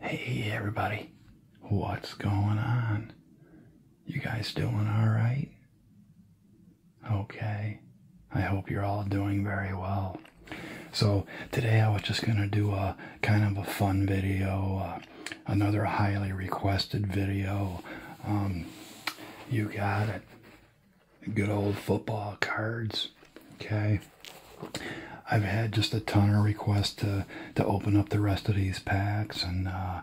Hey everybody, what's going on? You guys doing alright? Okay, I hope you're all doing very well. So, today I was just going to do a kind of a fun video, uh, another highly requested video. Um, you got it. Good old football cards. Okay, I've had just a ton of requests to to open up the rest of these packs, and uh,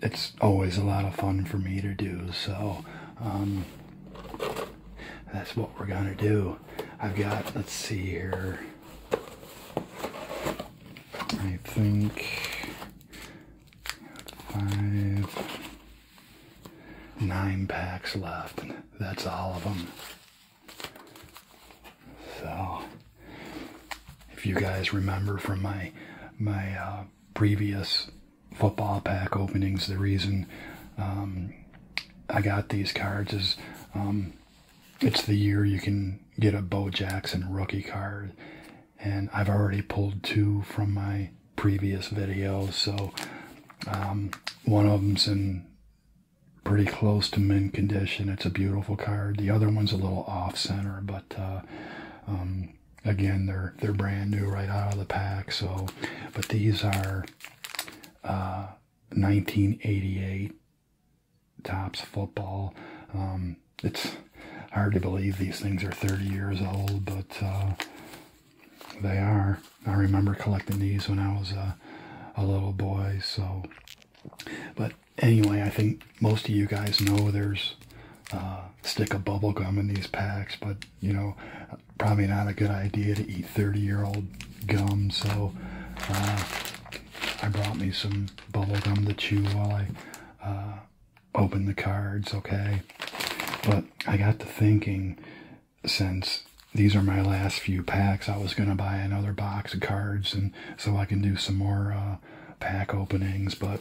it's always a lot of fun for me to do. So um, that's what we're gonna do. I've got let's see here. I think five, nine packs left. That's all of them. So, if you guys remember from my my uh, previous football pack openings, the reason um, I got these cards is um, it's the year you can get a Bo Jackson rookie card, and I've already pulled two from my previous videos. So, um, one of them's in pretty close to mint condition. It's a beautiful card. The other one's a little off center, but uh, um, again, they're they're brand new right out of the pack. So, but these are 1988 uh, tops football. Um, it's hard to believe these things are 30 years old, but uh, they are. I remember collecting these when I was a, little boy. So, but anyway, I think most of you guys know there's uh, stick of bubble gum in these packs, but you know, probably not a good idea to eat 30 year old gum. So uh, I brought me some bubble gum to chew while I uh, open the cards, okay? But I got to thinking since these are my last few packs, I was going to buy another box of cards and so I can do some more uh, pack openings. But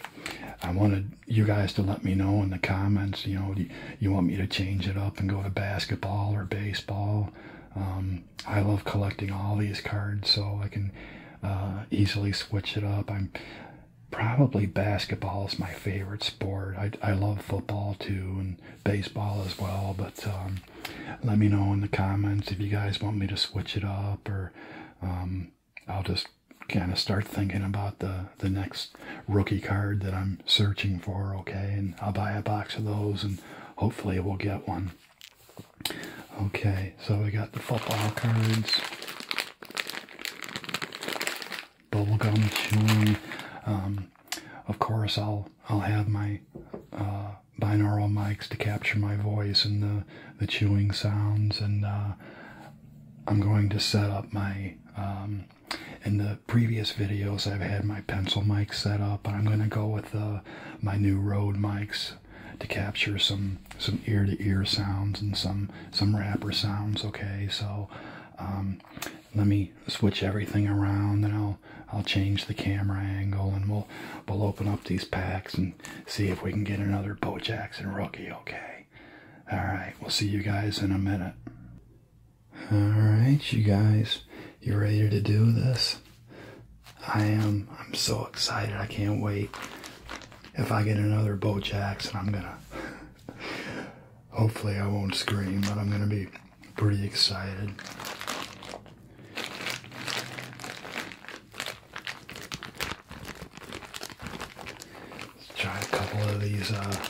I wanted you guys to let me know in the comments, you know, you, you want me to change it up and go to basketball or baseball? Um, I love collecting all these cards so I can uh, easily switch it up. I'm probably basketball is my favorite sport. I, I love football too and baseball as well. But um, let me know in the comments if you guys want me to switch it up, or um, I'll just kind of start thinking about the the next rookie card that I'm searching for. Okay, and I'll buy a box of those, and hopefully we'll get one. Okay, so we got the football cards. Bubble gum chewing. Um, of course, I'll I'll have my uh, binaural mics to capture my voice and the the chewing sounds, and uh, I'm going to set up my. Um, in the previous videos, I've had my pencil mic set up, but I'm going to go with uh, my new Rode mics to capture some some ear to ear sounds and some some rapper sounds. Okay, so um, let me switch everything around and I'll I'll change the camera angle and we'll we'll open up these packs and see if we can get another Bo and rookie, okay? Alright, we'll see you guys in a minute. Alright, you guys, you ready to do this? I am I'm so excited, I can't wait. If I get another Bo and I'm gonna Hopefully, I won't scream, but I'm going to be pretty excited. Let's try a couple of these uh,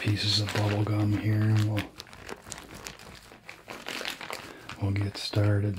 pieces of bubble gum here, and we'll we'll get started.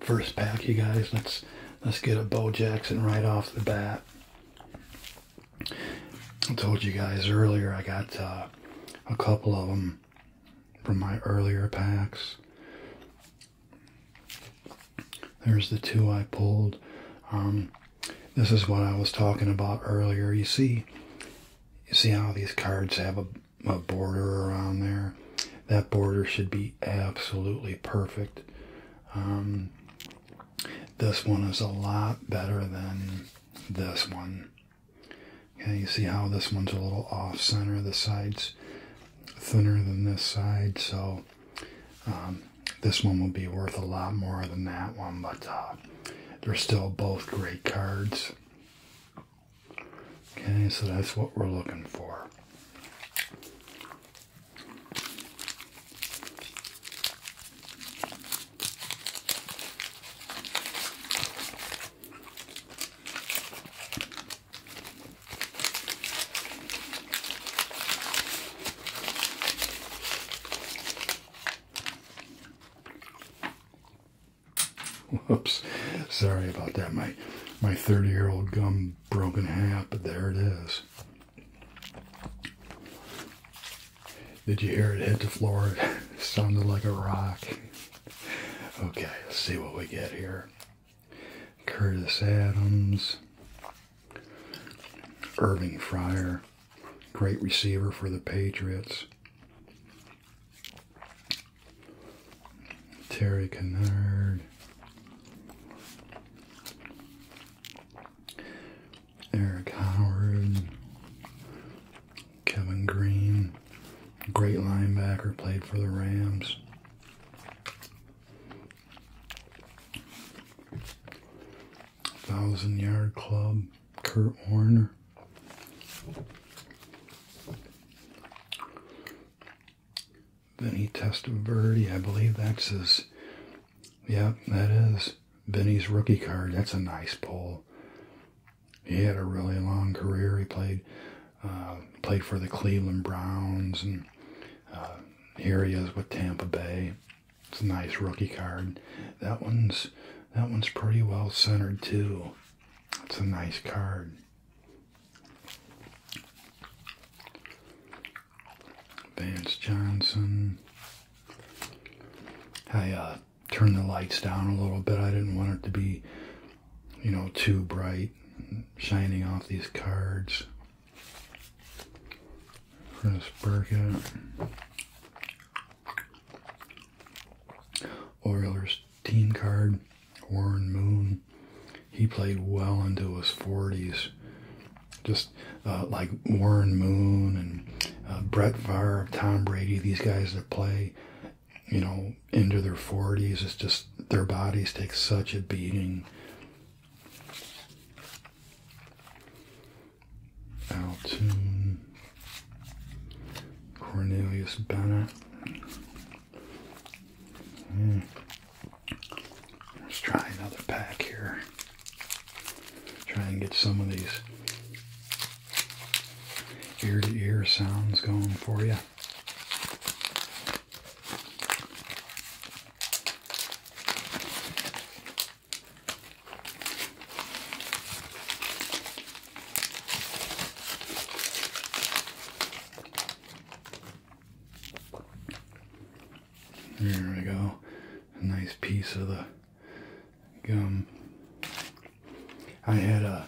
First pack, you guys. Let's let's get a Bo Jackson right off the bat. I told you guys earlier I got uh, a couple of them from my earlier packs. There's the two I pulled. Um, this is what I was talking about earlier. You see, you see how these cards have a, a border around there. That border should be absolutely perfect. Um, this one is a lot better than this one. Okay, you see how this one's a little off center. The side's thinner than this side, so um, this one would be worth a lot more than that one, but uh, they're still both great cards. Okay, so that's what we're looking for. Whoops. Sorry about that. My my 30-year-old gum broken half, but there it is. Did you hear it hit the floor? It sounded like a rock. Okay, let's see what we get here. Curtis Adams, Irving Fryer, great receiver for the Patriots. Terry Kennard, Eric Howard, Kevin Green, great linebacker, played for the Rams. Thousand Yard Club, Kurt Warner. Vinny Testaverde, I believe that's his. Yep, that is Vinny's rookie card. That's a nice pull. He had a really long career. He played uh, played for the Cleveland Browns, and uh, here he is with Tampa Bay. It's a nice rookie card. That one's that one's pretty well centered too. It's a nice card. Vance Johnson. I uh, turned the lights down a little bit. I didn't want it to be, you know, too bright, shining off these cards. Chris Burkett. Oilers team card, Warren Moon. He played well into his 40s. Just uh, like Warren Moon and uh, Brett Favre, Tom Brady, these guys that play, you know, into their 40s, it's just their bodies take such a beating. Altoon, Cornelius Bennett, Hmm. Let's try another pack here. Try and get some of these ear to ear sounds going for you. There we go. A nice piece of the gum. I had a,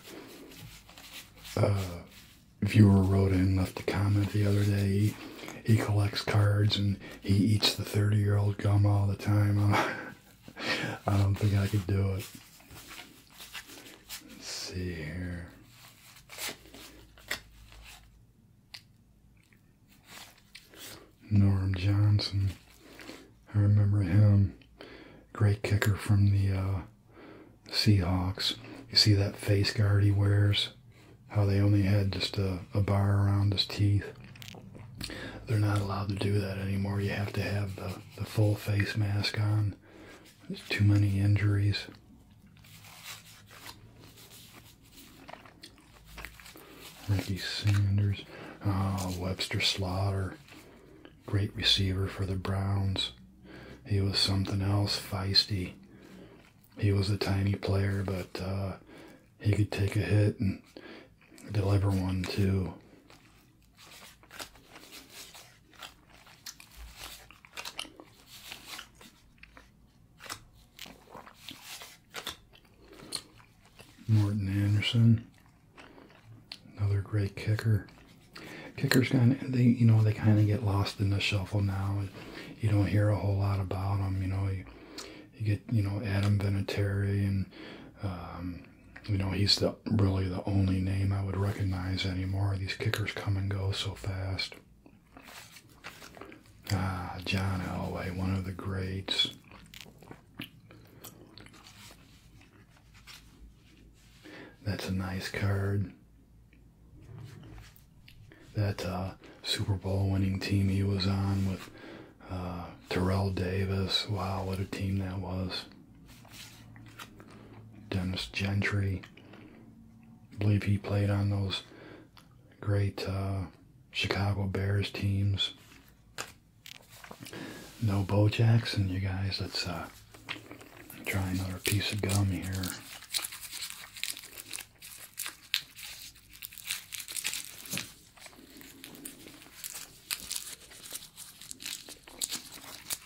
viewer wrote in, left a comment the other day. he collects cards and he eats the 30 year old gum all the time. I don't think I could do it. Let's see here. Norm Johnson. I remember him. Great kicker from the uh, Seahawks. You see that face guard he wears? How they only had just a, a bar around his teeth. They're not allowed to do that anymore. You have to have the, the full face mask on there's too many injuries. Ricky Sanders. Oh, Webster Slaughter. Great receiver for the Browns. He was something else, feisty. He was a tiny player, but uh, he could take a hit and deliver one too. Morton Anderson, another great kicker. Kickers kind they you know they kind of get lost in the shuffle now. You don't hear a whole lot about them. You know you, get you know Adam Vinatieri and um, you know, he's the really the only name I would recognize anymore. These kickers come and go so fast. Ah, John Elway, one of the greats. That's a nice card. That uh, Super Bowl winning team he was on with uh, Terrell Davis. Wow, what a team that was. Dennis Gentry. I believe he played on those great uh, Chicago Bears teams. No Bo Jackson, you guys. Let's uh, try another piece of gum here.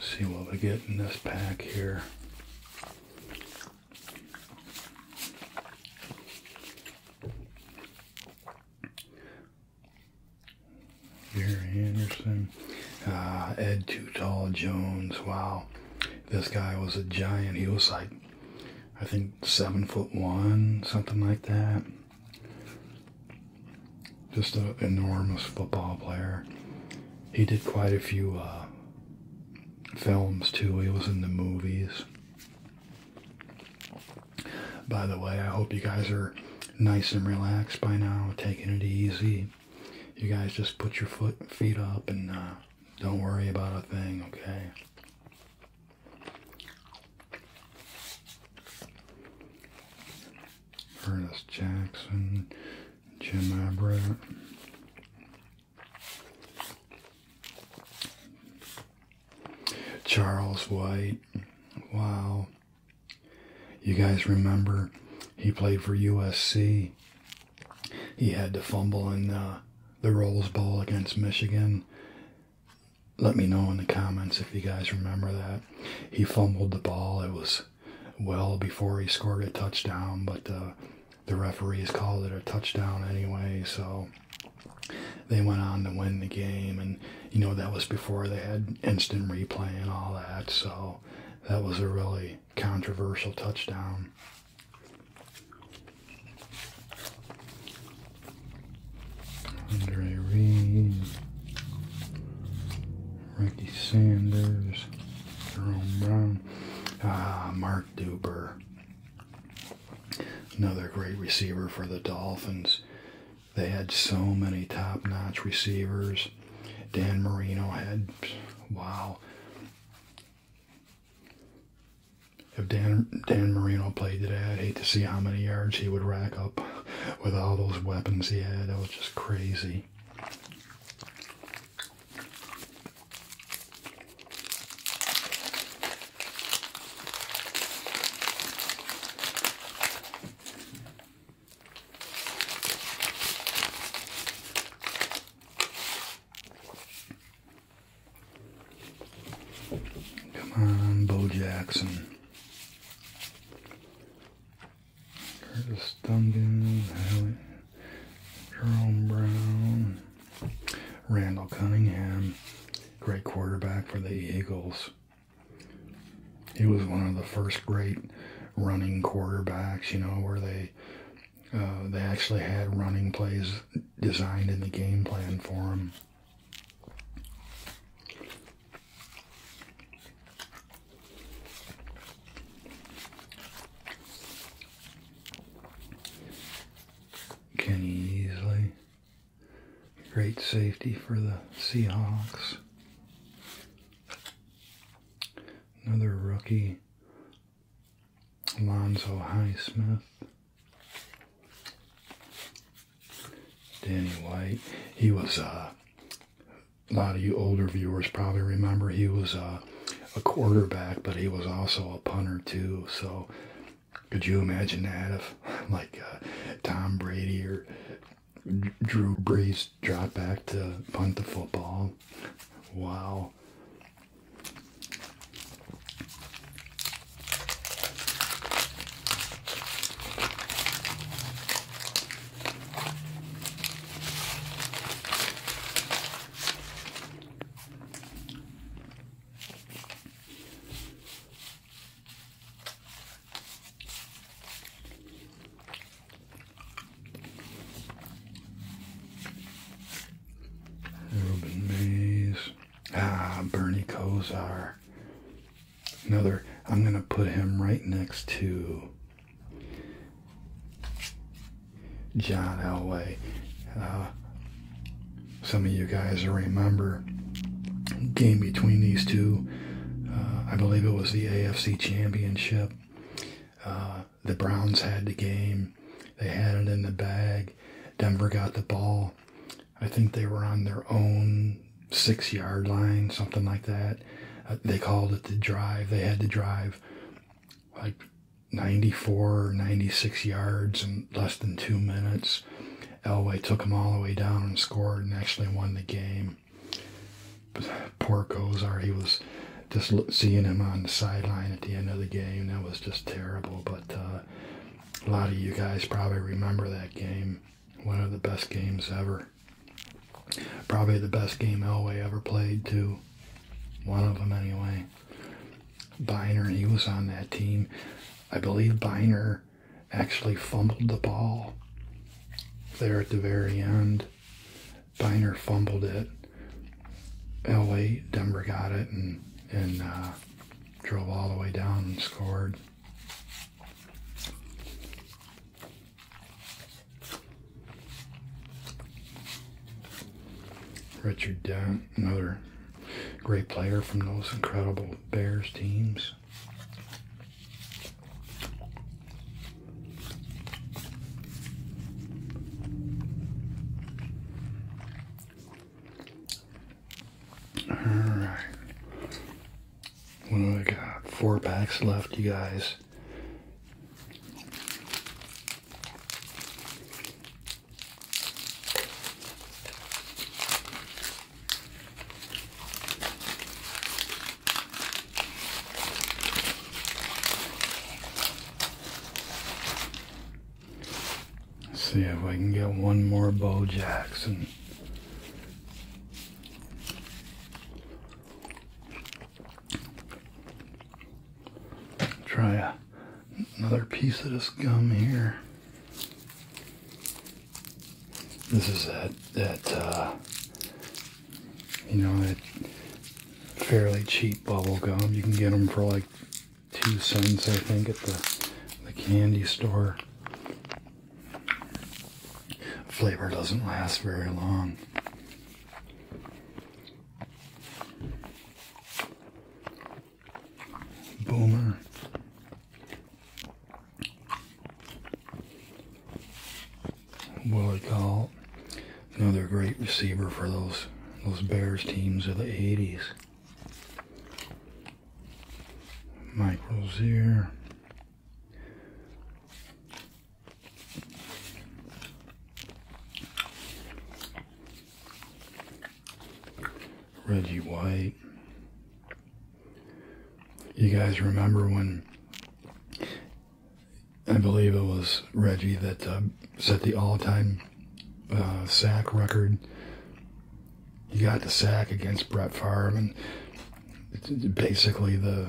see what we get in this pack here. Gary Anderson, ah, Ed Too Jones. Wow, this guy was a giant. He was like, I think seven foot one, something like that just an enormous football player. He did quite a few uh, films too. He was in the movies. By the way, I hope you guys are nice and relaxed by now, taking it easy. You guys just put your foot feet up and uh, don't worry about a thing, okay? Ernest Jackson, Jim Abra. Charles White. Wow. You guys remember he played for USC. He had to fumble in uh, the Rolls Bowl against Michigan. Let me know in the comments if you guys remember that. He fumbled the ball. It was well before he scored a touchdown, but uh, the referees called it a touchdown anyway, so they went on to win the game. And, you know, that was before they had instant replay and all that, so that was a really controversial touchdown. Andre Reed. Ricky Sanders, Jerome Brown, ah, Mark Duber, another great receiver for the Dolphins. They had so many top-notch receivers. Dan Marino had, wow. If Dan, Dan Marino played today, I'd hate to see how many yards he would rack up with all those weapons he had. That was just crazy. Come on, Bo Jackson. Curtis Duncan, Hallie, Jerome Brown, Randall Cunningham, great quarterback for the Eagles. He was one of the first great running quarterbacks, you know, where they uh, they actually had running plays designed in the game plan for him. Kenny easily Great safety for the Seahawks. Another rookie, Alonzo Highsmith. Danny White. He was uh, a lot of you older viewers probably remember he was a, uh, a quarterback, but he was also a punter too. So could you imagine that if like uh, Tom Brady or Drew Brees dropped back to punt the football? Wow. Ruben Mays. Ah, Bernie Kosar. Another, I'm going to put him right next to John Elway. Uh, some of you guys remember game between these two. Uh, I believe it was the AFC Championship. Uh, the Browns had the game. They had it in the bag. Denver got the ball. I think they were on their own six yard line, something like that. Uh, they called it the drive. They had to drive like 94 or 96 yards in less than two minutes. Elway took them all the way down and scored and actually won the game. But poor Gozar, he was just seeing him on the sideline at the end of the game. That was just terrible. But uh, a lot of you guys probably remember that game. One of the best games ever. Probably the best game Elway ever played, to One of them, anyway. Biner, he was on that team. I believe Biner actually fumbled the ball there at the very end. Biner fumbled it. Elway, Denver got it and, and uh, drove all the way down and scored. Richard Dent, another great player from those incredible Bears teams. All right. We do got? Four packs left, you guys. see if we can get one more Bo Jackson. Try a, another piece of this gum here. This is that, that uh, you know, that fairly cheap bubble gum. You can get them for like two cents, I think, at the, the candy store. Flavor doesn't last very long. Boomer. Willie Cole, another great receiver for those those Bears teams of the 80s. Michael's here. Reggie White. You guys remember when I believe it was Reggie that uh, set the all-time uh, sack record he got the sack against Brett Favre, and basically the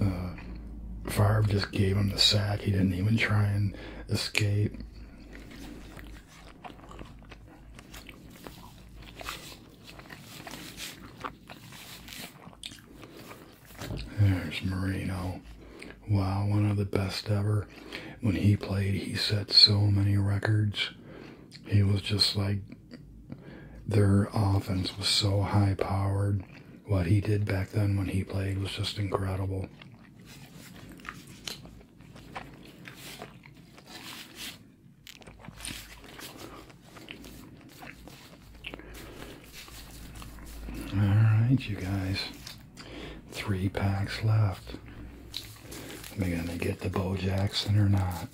uh, Favre just gave him the sack. He didn't even try and escape. There's Marino. Wow, one of the best ever. When he played, he set so many records. He was just like their offense was so high powered. What he did back then when he played was just incredible. All right, you guys. Three packs left. Am I going to get the Bo Jackson or not?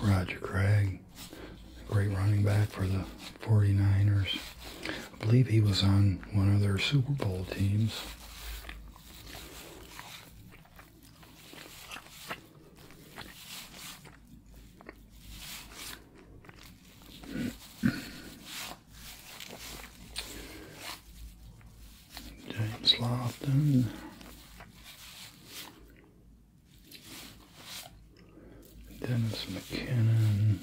Roger Craig, great running back for the 49ers. I believe he was on one of their Super Bowl teams. James Lofton. Dennis McKinnon.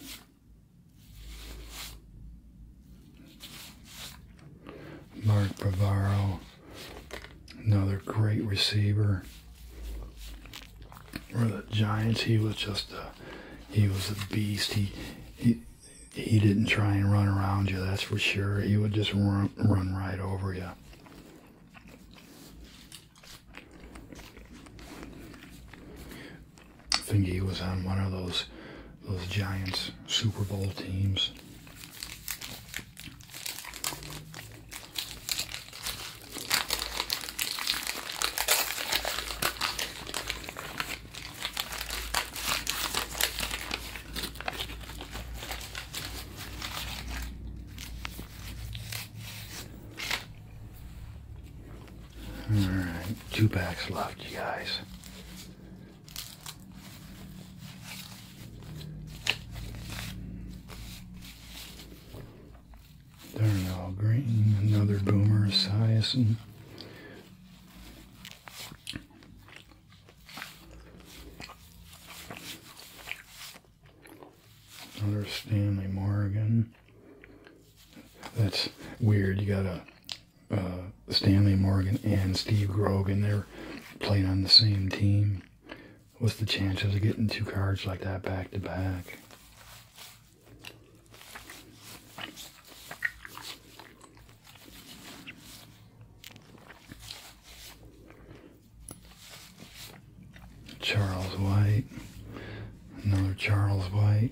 Mark Bavaro, another great receiver for the Giants. He was just a, he was a beast. He, he, he didn't try and run around you. That's for sure. He would just run, run right over you. I think he was on one of those those Giants Super Bowl teams. Alright, two packs left, you guys. Darnell Green, another Boomer Esiason. Another Stanley Morgan. That's weird. You got a uh, Stanley Morgan and Steve Grogan. They're playing on the same team. What's the chances of getting two cards like that back to back? Charles White, another Charles White.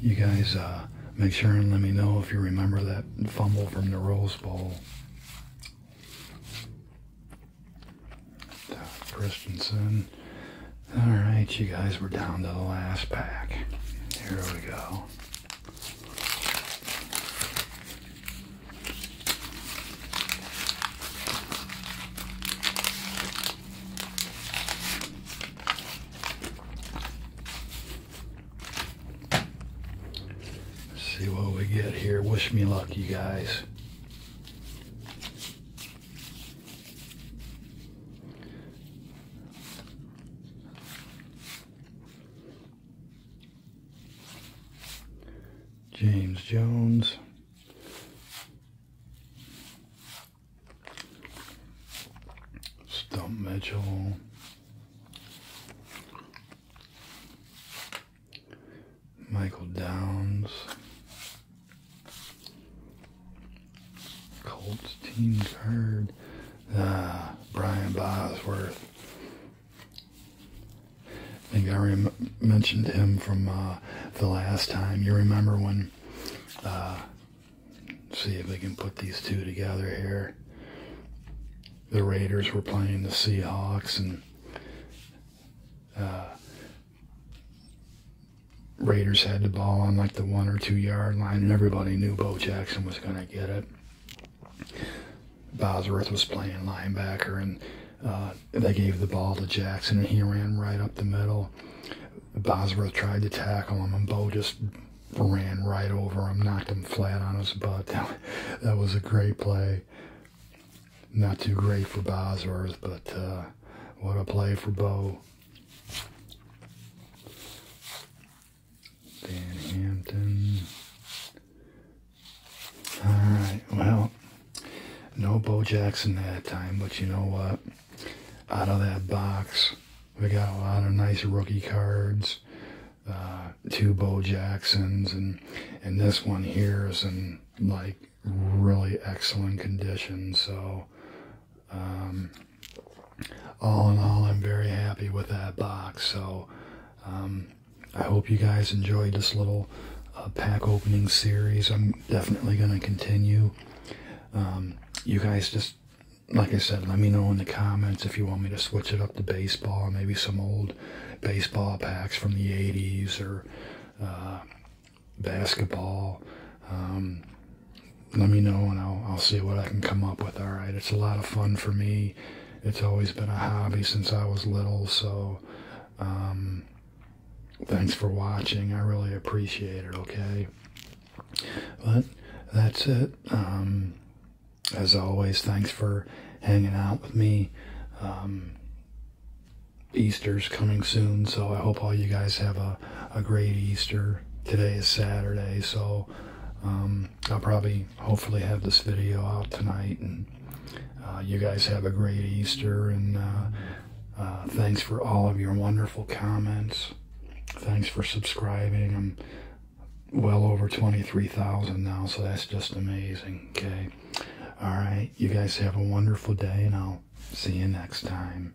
You guys uh, make sure and let me know if you remember that fumble from the Rose Bowl. Christensen. Alright, you guys, we're down to the last pack. Here we go see what we get here. Wish me luck, you guys. James Jones. Stump Mitchell. Michael Downs. Colts team card. Uh, Brian Bosworth. I think I rem mentioned him from uh, the last time. You remember when? Uh, see if we can put these two together here. The Raiders were playing the Seahawks, and uh, Raiders had the ball on like the one or two yard line, and everybody knew Bo Jackson was going to get it. Bosworth was playing linebacker, and uh, they gave the ball to Jackson, and he ran right up the middle. Bosworth tried to tackle him, and Bo just ran right over him, knocked him flat on his butt. That, was a great play. Not too great for Bosworth, but uh, what a play for Bo. Van Hampton. All right, well, no Bo Jackson that time, but you know what? Out of that box, we got a lot of nice rookie cards. Uh, two Bo Jacksons, and and this one here is in like really excellent condition. So um, all in all, I'm very happy with that box. So um, I hope you guys enjoyed this little uh, pack opening series. I'm definitely going to continue. Um, you guys just, like I said, let me know in the comments if you want me to switch it up to baseball, maybe some old baseball packs from the 80s or uh, basketball. Um, let me know and I'll, I'll see what I can come up with. All right. It's a lot of fun for me. It's always been a hobby since I was little. So, um, thanks for watching. I really appreciate it. Okay. But that's it. Um, as always, thanks for hanging out with me. Um, Easter's coming soon. So I hope all you guys have a, a, great Easter. Today is Saturday, so um, I'll probably hopefully have this video out tonight. And uh, you guys have a great Easter. And uh, uh, thanks for all of your wonderful comments. Thanks for subscribing. I'm well over 23,000 now, so that's just amazing. Okay. All right. You guys have a wonderful day, and I'll see you next time.